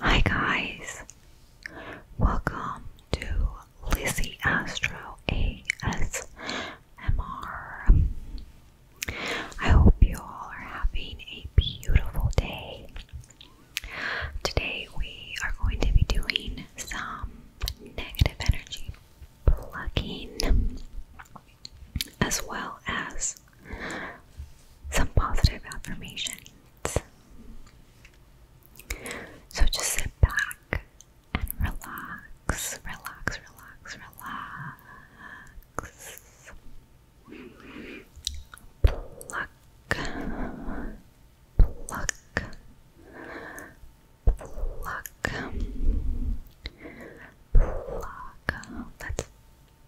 Hi guys, welcome to Lizzie Astro ASMR. I hope you all are having a beautiful day. Today we are going to be doing some negative energy plugging as well as some positive affirmations. So just sit back and relax, relax, relax, relax. Pluck, pluck, pluck, pluck. Let's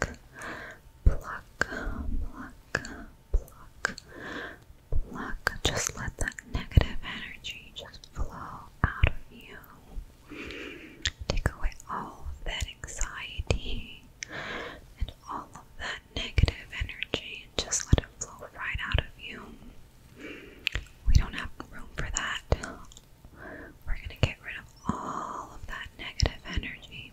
pluck, pluck, pluck, pluck, Just let that negative energy just flow out of you. Take away all of that anxiety and all of that negative energy and just let it flow right out of you. We don't have room for that. We're going to get rid of all of that negative energy.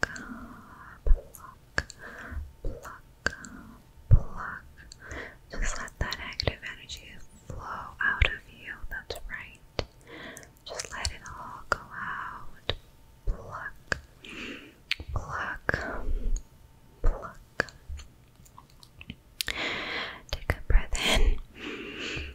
pluck, pluck, pluck. Just let that negative energy flow out of you. That's right. Just let it all go out. Pluck, pluck, pluck. Take a breath in.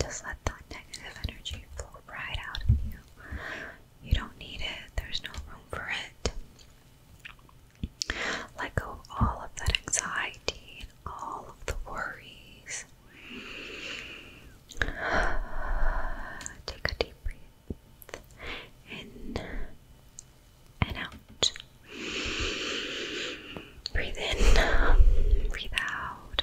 Just let that negative energy flow right out of you. You don't need it, there's no room for it. Let go of all of that anxiety and all of the worries. Take a deep breath in and out. Breathe in, breathe out,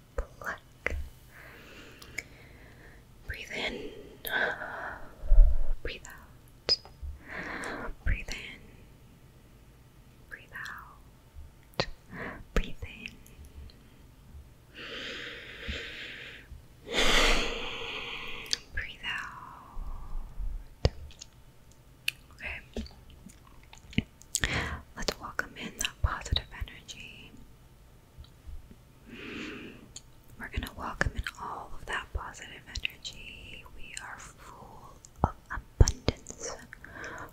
Breathe in, breathe out, breathe in, breathe out, breathe in, breathe out. Okay. Let's welcome in that positive energy. We're going to welcome in all of that positive energy. We are full of abundance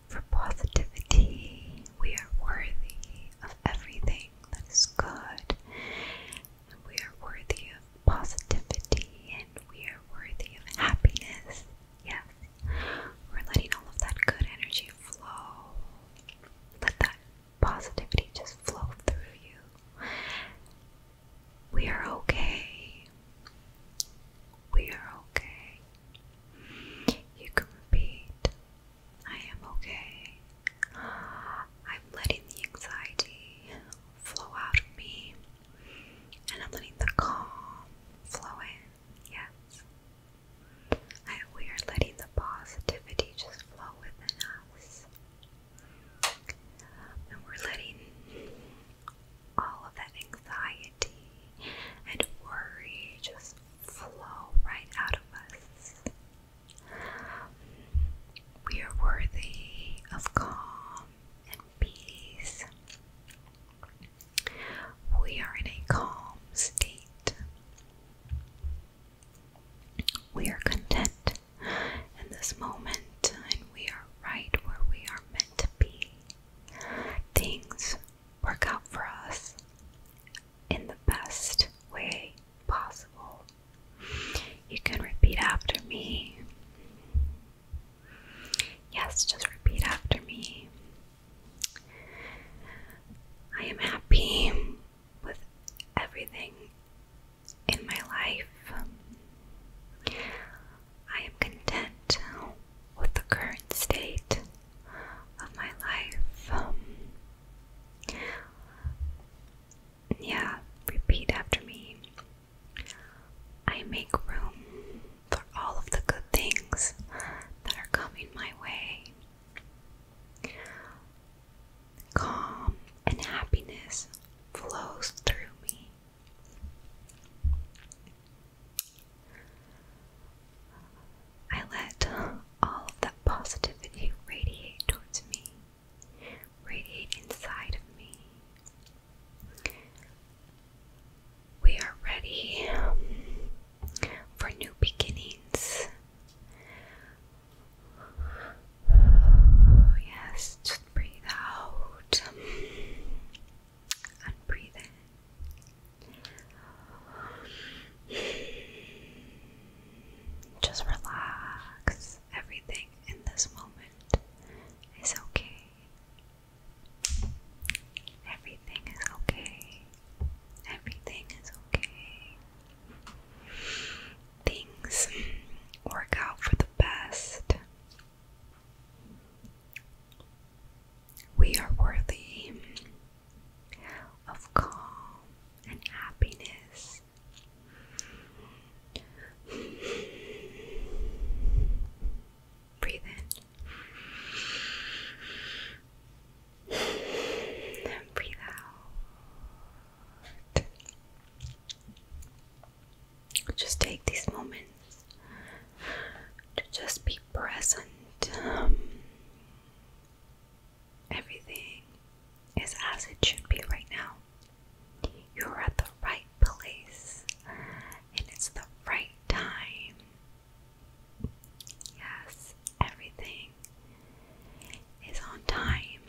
for positivity. We are worthy of everything that is good. And we are worthy of positivity and we are worthy of happiness. Yes, we're letting all of that good energy flow. Let that positivity just flow through you. We are okay. We are okay. You can repeat I am okay. I'm letting the anxiety flow out of me. And I'm letting the calm flow in. Yes we are letting the positivity just flow within us. And we're letting all of that anxiety and worry just flow right out of us. We are worthy of calm and peace. We are in a calm state. We are content in this moment and we are right where we are meant to be. Things work out for us in the best way possible. You can repeat after me. Yes, just repeat after me. I am happy with everything in my life. I am content with the current state of my life. yeah, repeat after me. I make room for all of the good things that are coming my way. Calm and happiness flows through me. I let all of that positivity radiate towards me, radiate inside of me we are ready um, for new beginnings. Yes, just breathe out and breathe in. Just relax. Everything in this moment is okay. Everything is okay. Everything is okay. Things work out for the best. We are worthy of calm and happiness. Breathe in. And Breathe out. Just take these moments to just be present. Um, everything is as it should be right now. You're at the right place, and it's the right time Yes, everything is on time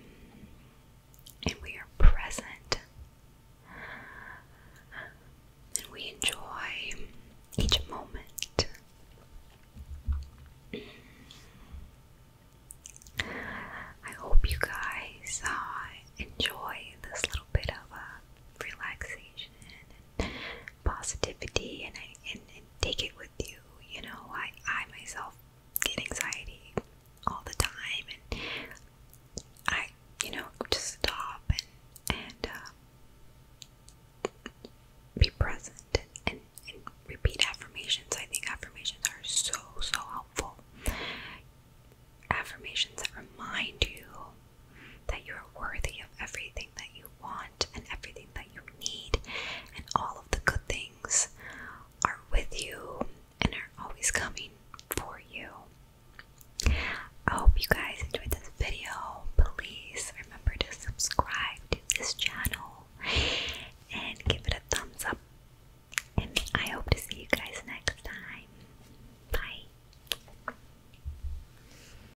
and we are present and we enjoy each moment. I hope you guys uh, enjoy this little bit of a uh, relaxation positivity and, I, take it with you. You know, I, I myself get anxiety all the time, and I, you know, just stop and, and uh, be present and, and repeat affirmations. I think affirmations are so, so helpful. Affirmations that remind you that you are worthy of everything that you want and everything that you need, and all of the good things are with you and are always coming for you. I hope you guys enjoyed this video. Please remember to subscribe to this channel and give it a thumbs up. And I hope to see you guys next time. Bye.